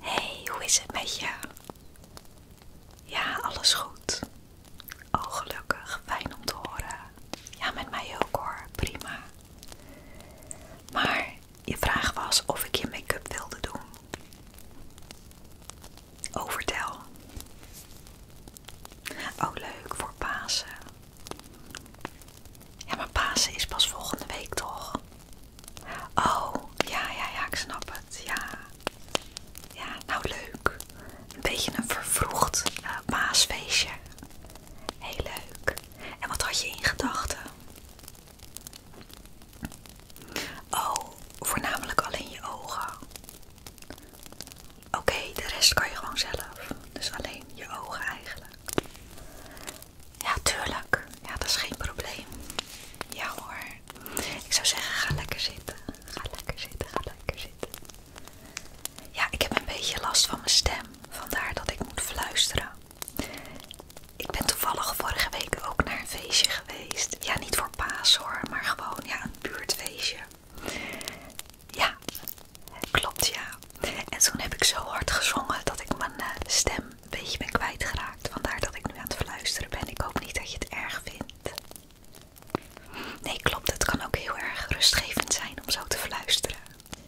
Hey, hoe is het met je? Ja, alles goed. Oh, gelukkig. Fijn om te horen. Ja, met mij ook hoor. Prima. Maar je vraag was of ik je make-up wilde doen. Oh, Oh, leuk voor Pasen. Ja, maar Pasen is pas volgende week toch? Oh, ja, ja, ja, ik snap het. Ja, ja nou leuk. Een beetje een vervroegd maasfeestje eh, Heel leuk. En wat had je in gedachten? Oh, voornamelijk alleen je ogen. Oké, de rest kan je gewoon zelf. Dus alleen je ogen eigenlijk. Ja, tuurlijk. Ja, dat is geen probleem. Ja hoor. Ik zou zeggen, ga lekker zitten. Ga lekker zitten, ga lekker zitten. Ja, ik heb een beetje last van mijn stem. Vandaar dat ik moet fluisteren. Ik ben toevallig vorige week ook naar een feestje geweest. Ja, niet voor paas hoor, maar gewoon ja, een buurtfeestje. Ja, klopt ja. En toen heb ik zo hard gezongen dat ik mijn eh, stem een beetje ben kwijtgeraakt. Vandaar dat ik nu aan het fluisteren ben. Ik hoop niet dat je het erg vindt. Nee, klopt. Het kan ook heel erg rustgevend zijn om zo te fluisteren.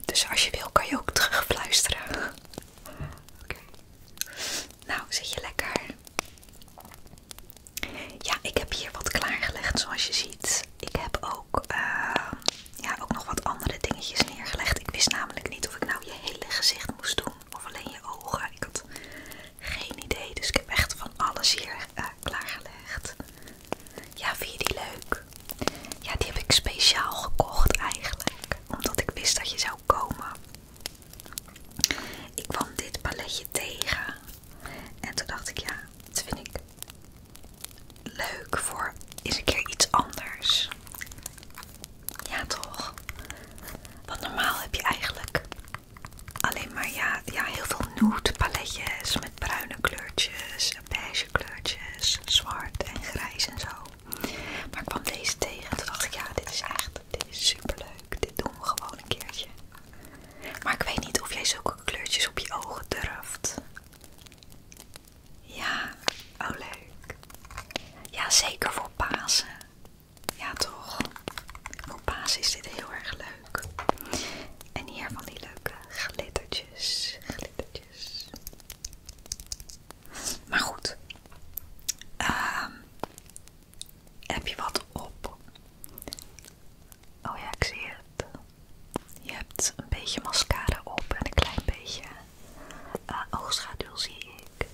Dus als je wil, kan je ook terug fluisteren. Oké. Nou, zit je lekker? Ja, ik heb hier wat klaargelegd zoals je ziet. Ik heb ook ehm, ja, ook nog wat andere dingetjes neergelegd. Ik wist namelijk niet of ik nou je hele gezicht moest doen of alleen je ogen. Ik had geen idee, dus ik heb echt van alles hier eh, klaargelegd. Ja, vind je die leuk? Ja, die heb ik speciaal gekocht eigenlijk, omdat ik wist dat je zou komen. Ik kwam dit paletje tegen en toen dacht ik, ja, dat vind ik leuk voor eens een keer iets anders. Ja, toch? Want normaal heb je eigenlijk alleen maar ja, ja, heel veel nude paletjes met bruine kleurtjes, beige kleurtjes, zwart en grijs en zo. Maar ik kwam deze tegen en toen dacht ik, ja, dit is echt dit is superleuk. Dit doen we gewoon een keertje. Maar ik weet niet of jij zulke kleurtjes op je ogen durft. Ja, oh leuk. Ja, zeker voor Pasen. Ja, toch? Voor Pasen is dit heel erg leuk. En hier van die leuke glittertjes. Glittertjes. Maar goed. Ehm, heb je wat op? Oh ja, ik zie het. Je hebt een beetje mascara op en een klein beetje eh, oogschaduw zie ik.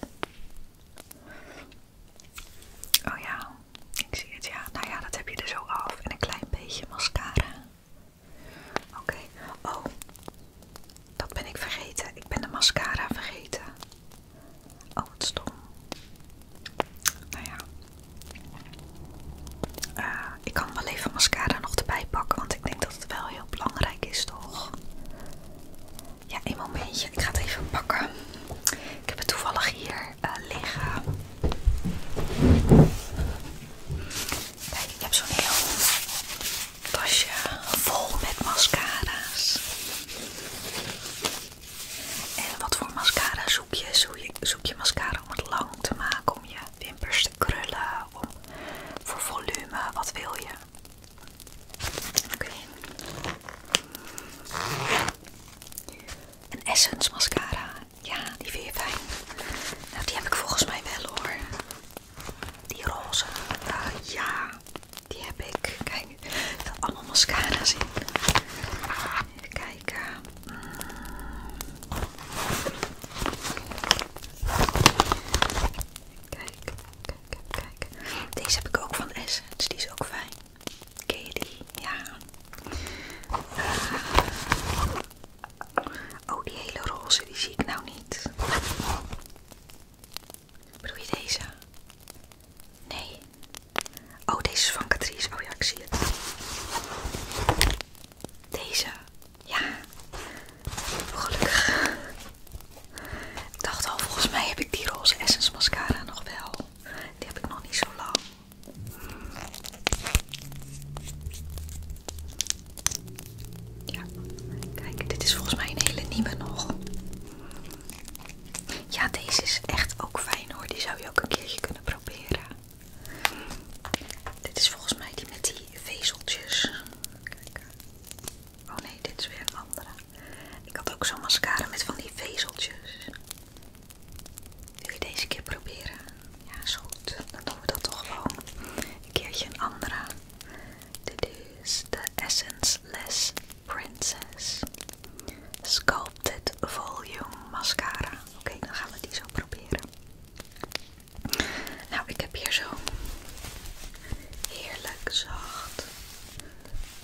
Oh ja, ik zie het ja. Nou ja, dat heb je er dus zo af. En een klein beetje mascara. Oké. Oh, dat ben ik vergeten. Ik ben de mascara vergeten. Oh, wat stom. Nou ja. Eh, ik kan wel even mascara nog erbij pakken, want ik denk dat het wel heel belangrijk is, toch? Ja, een momentje. Ik ga het even pakken. Ik heb het toevallig hier eh, liggen. Kijk, ik heb zo'n heel tasje vol met mascara's. En wat voor mascara zoek je? Zoek je, zoek je mascara om het lang te maken, om je wimpers krullen, voor volume, wat wil je? Oké. Een Essence mascara. Ja, die vind je fijn. Nou, die heb ik volgens mij wel hoor. Die roze. Ah, ja, die heb ik. Kijk, er allemaal mascara's zien. Even kijken. Hmm. Kijk, kijk, kijk, kijk. Deze heb ik ook van Essence, die is ook fijn. Ken je die? Ja. Eh, oh, die hele roze, die zie ik nou niet. Bedoel je deze? Nee. Oh, deze is van Catrice. Oh ja, ik zie het. Deze. Ja, gelukkig. Ik dacht al, volgens mij heb ik die roze essence mascara nog wel. Die heb ik nog niet zo lang. Ja, kijk, dit is volgens mij een hele nieuwe nog. Ja, deze is echt ook fijn hoor. Die zou je ook een keertje kunnen proberen. Dit is volgens mij die met die vezeltjes. Kijk. Oh nee, dit is weer een andere. Ik had ook zo'n mascara met van die vezeltjes. Wil je deze keer proberen? Ja, is goed. Dan doen we dat toch gewoon. Een keertje een andere. Dit is de Essence Less Princess Sculpted Volume Mascara. Oké, dan gaan we die zo proberen. Nou, ik heb hier zo'n heerlijk zacht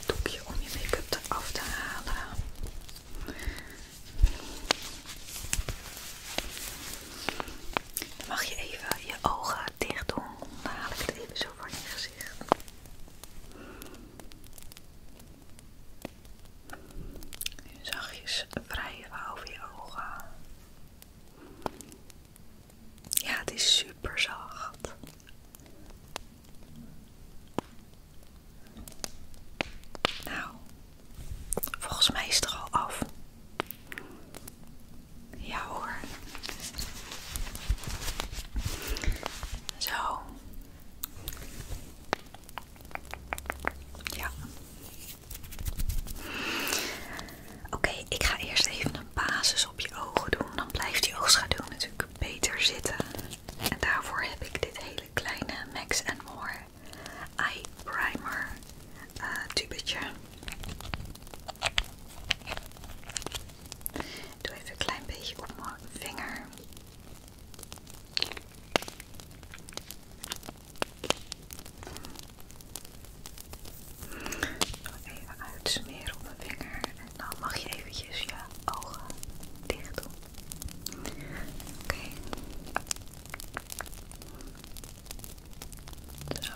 doekje om je make-up af te halen. mag je even je ogen dicht doen. Dan haal ik het even zo van je gezicht zachtjes wrijven over je ogen. Ja, het is superzacht Nou, volgens mij is het er al af. Ja hoor. Zo. Ja. Oké, ik ga eerst even een basis op je ogen doen. Dan blijft die oogschaduw natuurlijk beter zitten. En daarvoor heb ik dit hele kleine Max More Eye Primer eh, tubetje. Ik doe even een klein beetje op mijn vinger. Even uitsmeren op mijn vinger en dan mag je eventjes je ogen dicht doen. Oké. Zo.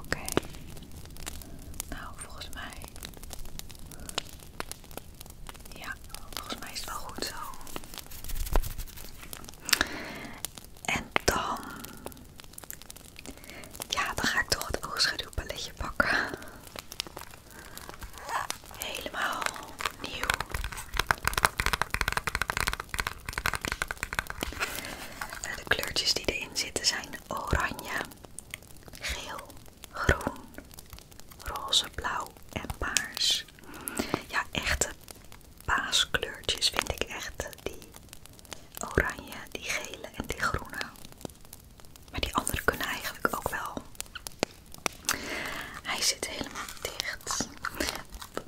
Oké. Nou, volgens mij ja, volgens mij is het wel goed zo. En dan... Ja, dan ga ik toch het oogschaduwpaletje pakken. Helemaal nieuw. De kleurtjes die erin zitten zijn oranje, geel, groen, roze, blauw en paars. Ja, echte paaskleurtjes vind ik echt die oranje, die gele en die groene. Maar die andere kunnen eigenlijk ook wel. Hij zit helemaal dicht.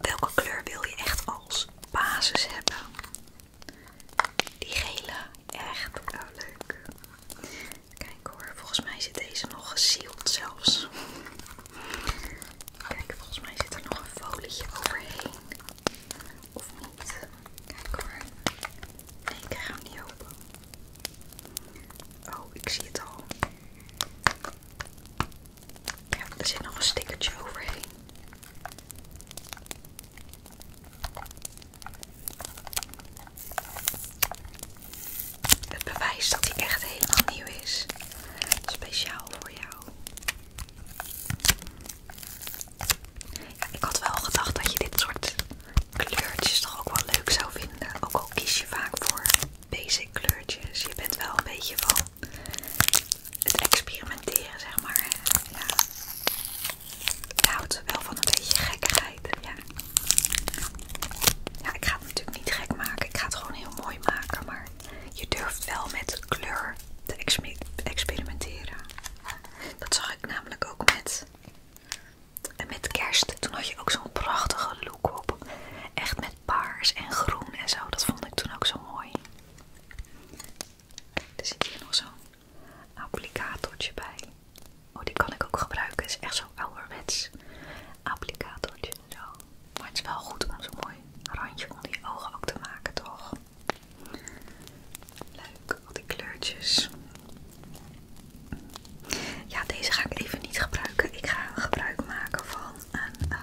Welke kleur wil je echt als basis hebben? Die gele Echt oh, leuk. Kijk hoor, volgens mij zit deze nog geseald zelfs. Kijk, volgens mij zit er nog een folietje overheen. Of niet? Kijk hoor. Nee, ik ga hem niet open. Oh, ik zie het al. Kijk, er zit nog een stickertje overheen. Het bewijs dat hij echt helemaal nieuw is. Speciaal voor jou. ik had wel gedacht dat je dit soort kleurtjes toch ook wel leuk zou vinden. Ook al kies je vaak voor basic kleurtjes. Je bent wel een beetje van het experimenteren, zeg maar. Ja. Ik houdt wel van een beetje gekkigheid. Ja. ja, ik ga het natuurlijk niet gek maken. Ik ga het gewoon heel mooi maken. Maar je durft wel met kleur te experimenteren. Dat zag ik namelijk ook met, eh, met kerst. Toen had je ook zo'n prachtige look op. Echt met paars en groen en zo. Dat vond ik toen ook zo mooi. Er zit hier nog zo applicatortje bij. Oh, die kan ik ook gebruiken. Is echt zo ouderwets applicatortje en zo. Maar het is wel goed om zo'n mooi randje om die ogen ook te maken, toch? Leuk, al die kleurtjes. Ja, deze ga ik even niet gebruiken. Ik ga gebruik maken van een, eh,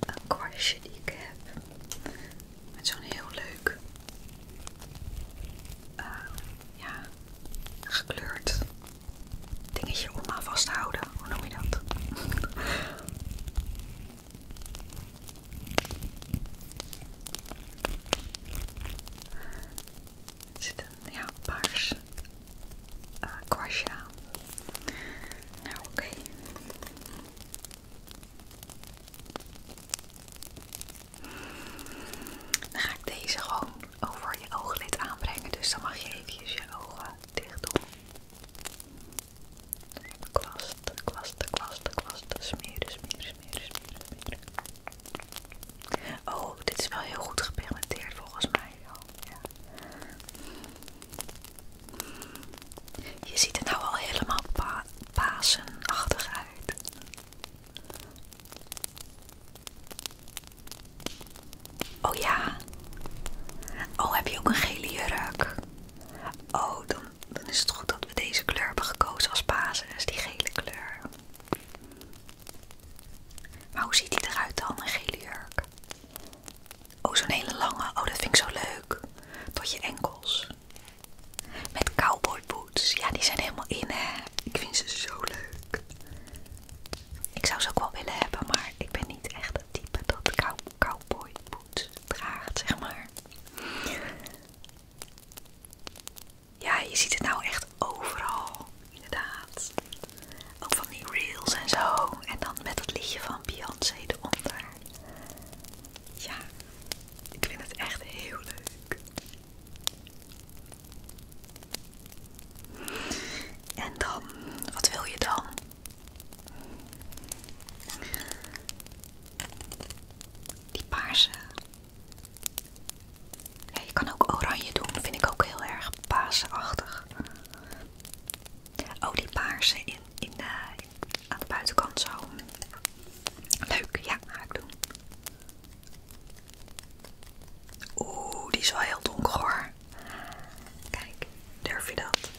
een kwastje die ik heb. Met zo'n heel leuk ehm, ja, gekleurd dingetje om aan vast te houden. Hoe noem je dat? zit een ja, paars eh, kwastje aan. Nou, oké. Dan ga ik deze gewoon over je ooglid aanbrengen, dus dan mag je even je ogen dicht doen. Kwasten, kwasten, kwasten, kwasten, smeren, smeren, smeren, smeren, smeren. Oh, dit is wel heel goed gepigmenteerd volgens mij. Oh, je ziet het nou al helemaal pasenachtig uit. Oh ja. Oh, heb je ook een gele jurk? Oh, dan, is het goed dat we deze kleur hebben gekozen als basis, dus die gele kleur. Maar hoe ziet die eruit dan, een gele jurk? Oh, zo'n hele lange. Oh, dat vind ik zo leuk. Tot je enkels. Met cowboy boots. Ja, die zijn helemaal in hè. Ik vind ze zo leuk. Ik zou ze ook wel willen hebben, maar ik ben niet echt het type dat cowboy boots draagt, zeg maar. Ja, je ziet het nou echt overal, inderdaad. Ook van die reels en zo. En dan met dat liedje van Beyoncé eronder. Ja, ik vind het echt heel leuk. En dan, wat wil je dan? Die paarse. je kan ook oranje doen, vind ik ook heel erg paasachtig. Oh, die paarse in, in, de eh, aan de buitenkant zo. Leuk, ja, ga ik doen. Oeh, die is wel heel donker hoor. Kijk, durf je dat?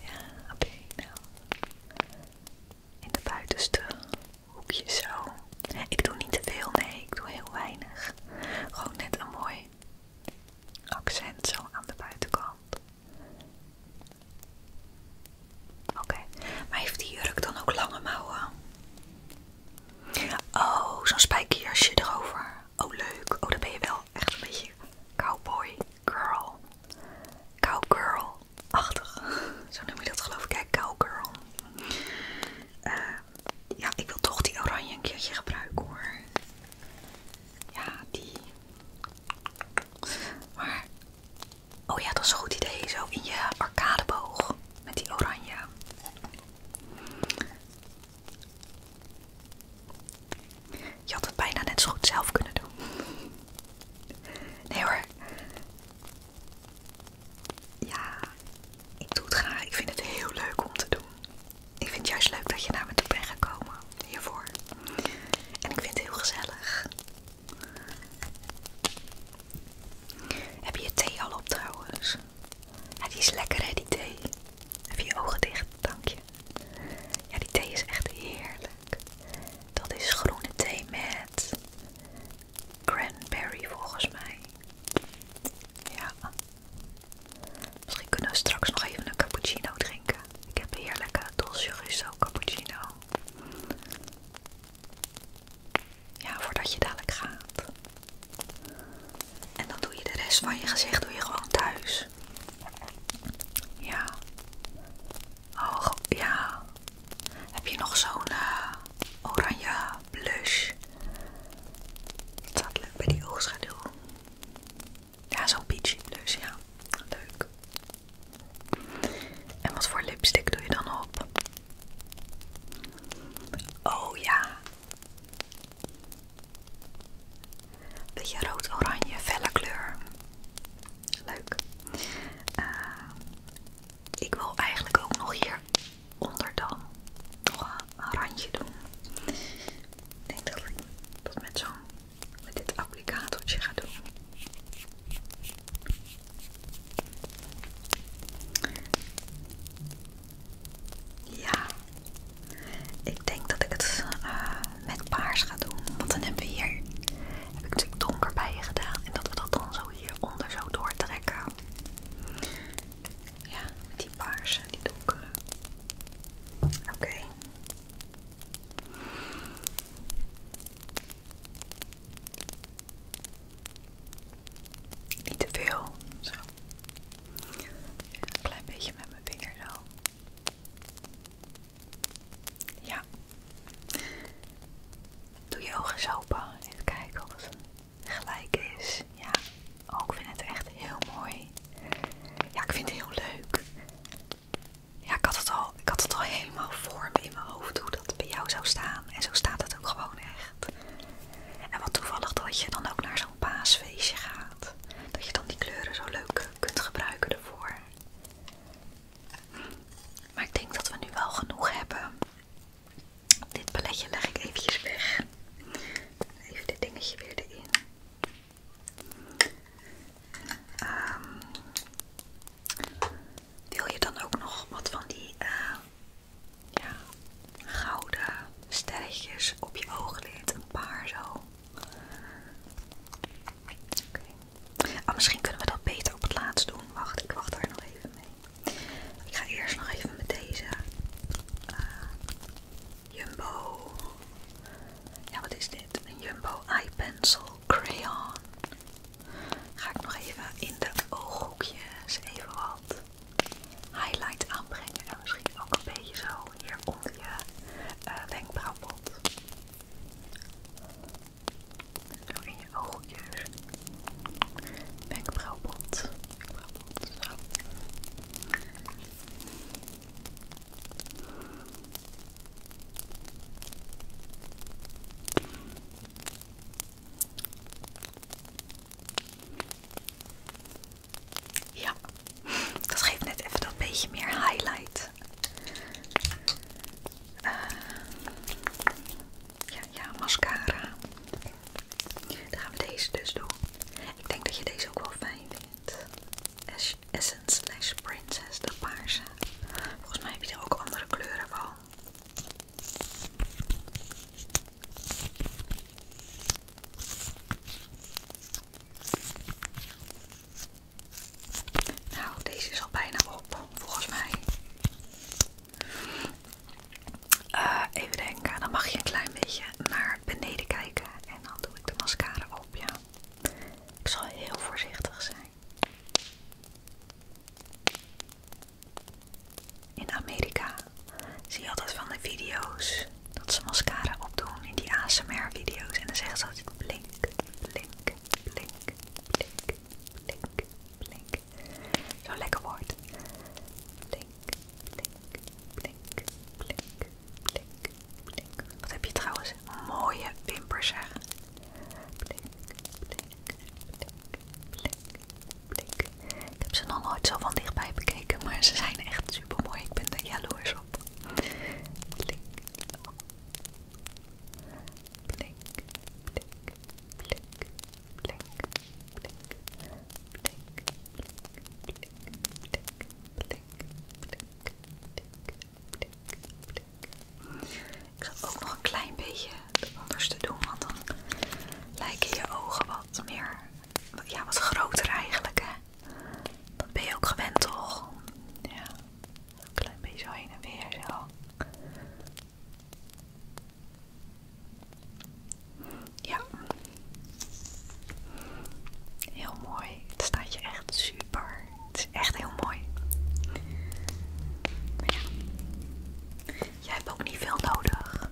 Ja, oké, nou. In de buitenste hoekje zo. Ik doe niet te veel, nee, ik doe heel weinig. Gewoon net een mooi accent zo aan de buitenkant. Oké, maar heeft die jurk dan ook lange mouwen? Oh, zo'n spijkerjasje erover. Oh, leuk. Oh, dan ben je wel echt een beetje cowboy girl. Cowgirl-achtig. Zo noem je dat geloof ik. cowgirl. Eh, ja, ik wil toch die oranje een keertje gebruiken hoor. Ja, die. Maar, oh ja, dat is een goed idee. Zo in je arcadeboog met die oranje. Je had het bijna net zo goed zelf kunnen doen. Nee hoor. Ja, ik doe het graag. Ik vind het heel leuk om te doen. Ik vind het juist leuk dat je naar me toe bent gekomen hiervoor. En ik vind het heel gezellig. Heb je je thee al op trouwens? die is lekker hè, die thee. Heb je ogen dicht, dank Ja, die thee is echt heerlijk. Dat is groene thee met cranberry volgens mij. Ja. Misschien kunnen we straks nog even een cappuccino drinken. Ik heb een heerlijke Dolce Gusto cappuccino. Ja, voordat je dadelijk gaat. En dan doe je de rest van je gezicht doe je gewoon thuis. Ja. Oh, ja. Heb je nog zo'n eh, oranje blush? Het leuk bij die oogschaduw. Ja, zo'n peachy dus, ja. Leuk. En wat voor lipstick doe je dan op? Oh ja. Beetje rood-oranje, felle kleur. Leuk. Eh, ik wil eigenlijk ook nog hieronder dan nog een randje doen. Ik denk dat ik dat met zo'n met dit applicatortje ga doen. Ja, ik denk dat ik het eh, met paars ga doen. Want dan hebben we hier, heb ik natuurlijk donker bij je gedaan. En dat we dat dan zo hieronder zo doortrekken. Ja, met die paarse, die donkere. Oké. Niet te veel, zo. Een klein beetje met mijn vinger zo. Ja. Doe je ogen eens open. Even kijken of het gelijk is. Ja. vind oh, ik vind het echt heel mooi. Ja, ik vind het heel leuk. Ja, ik had het al, ik had het al helemaal vorm in mijn hoofd hoe dat bij jou zou staan. En zo staat het ook gewoon echt. En wat toevallig dat je dan ook naar zo'n paasfeestje gaat. Dat je dan die kleuren zo leuk kunt gebruiken ervoor. Maar ik denk dat we nu wel genoeg hebben. Dit paletje leg ik hier weg. Even dit dingetje weer erin. Ehm, wil je dan ook nog wat van die eh, gouden sterretjes op je ooglid? Een paar zo. Ah, misschien kunnen we dat beter op het laatst doen. Wacht, ik wacht daar nog even mee. Ik ga eerst nog even met deze eh, Jumbo. Ja, wat is dit? Een Jumbo Eye Pencil Crayon. Ga ik nog even in de ooghoekjes even wat highlight aanbrengen. En misschien ook een beetje zo hier onder je uh, wenkbrauwpot. Zo in je ooghoekjes. Wenkbrauwpot. Wenkbrauwpot, zo. Ja, dat geeft net even dat beetje meer highlight. Eh, ja, ja, mascara. Dan gaan we deze dus doen. Ik denk dat je deze ook wel fijn vindt. Essence slash Princess, de paarse. Volgens mij heb je er ook andere kleuren van. Nou, deze is al bijna op, volgens mij. Eh, even denken, dan mag je een klein beetje naar beneden kijken en dan doe ik de mascara op, ja. Ik zal heel voorzichtig zijn. In Amerika zie je altijd van de video's dat ze mascara opdoen in die ASMR-video's. En dan zeggen ze altijd blink, blink, blink, blink, blink, blink. Zo'n lekker woord. Blink, blink, blink, blink, blink, blink. Wat heb je trouwens mooie wimpers, hè? Blink, blink, blink, blink, Ik heb ze nog nooit zo van dichtbij bekeken, maar ze zijn echt super mooi. Ik ben er jaloers op. blink, blink, blink, blink, blink blink. Ik ga ook nog een klein beetje de onderste doen, want dan lijken je ogen wat meer, ja wat groter eigenlijk hè. Dat ben je ook gewend toch? Ja, een klein beetje zo heen en weer zo. Ja. Heel mooi. Het staat je echt super. Het is echt heel mooi. Maar ja. Jij hebt ook niet veel nodig.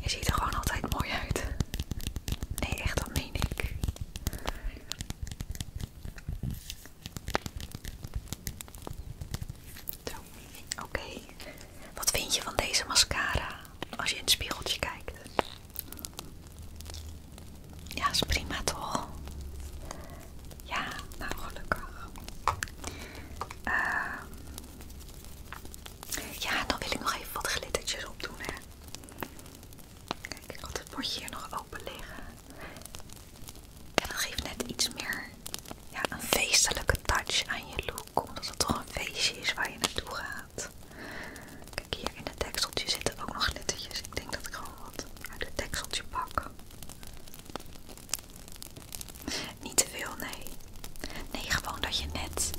Je ziet er gewoon altijd mooi uit. Nee, echt, dat meen ik. Oké. Wat vind je van deze mascara als je in het spiegeltje kijkt? Ja, is prima toch? Ja, nou gelukkig. Ehm, ja, dan wil ik nog even wat glittertjes opdoen, hè. Kijk, ik had het potje hier nog open liggen. En dan dat geeft net iets meer ja, een feestelijke touch aan je look kom, dat het toch een feestje is waar je naartoe gaat. Kijk, hier in het dekseltje zitten ook nog glittertjes. Ik denk dat ik gewoon wat uit het tekseltje pak. Niet te veel, nee. Nee, gewoon dat je net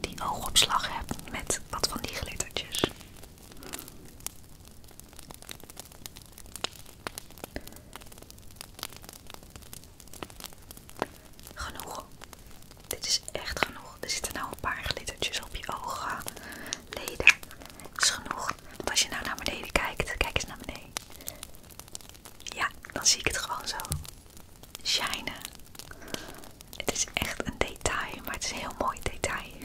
die oogopslag hebt met wat van die glittertjes. Genoeg. Dit is echt genoeg. Er zitten nou een paar glittertjes op je ogen, leden. Dat is genoeg. Want als je nou naar beneden kijkt, kijk eens naar beneden. Ja, dan zie ik het gewoon zo. Shinen. Het is echt een detail, maar het is een heel mooi detail.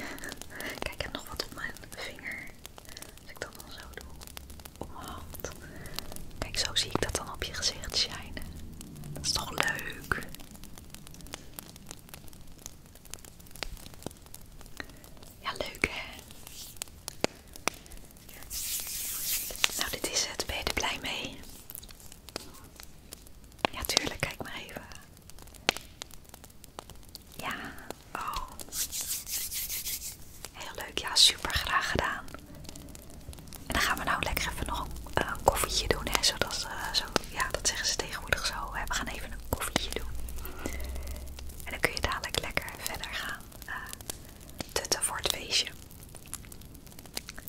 Kijk, ik heb nog wat op mijn vinger. Als ik dat dan zo doe. Kijk, zo zie ik dat dan op je gezicht schijnen Dat is toch leuk? Ja, leuk hè? Nou, dit is het. Ben je er blij mee? Ja, tuurlijk. Kijk maar even. Ja, oh. Heel leuk. Ja, super graag gedaan. En dan gaan we nou lekker even nog een, eh, koffietje doen. zodat, eh, zo, ja, dat zeggen ze tegenwoordig zo. we gaan even een koffietje doen. En dan kun je dadelijk lekker verder gaan eh, tutten voor het feestje.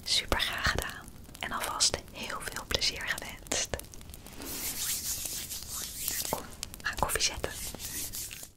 Super graag gedaan. En alvast heel veel plezier gewenst. Kom, ga koffie zetten.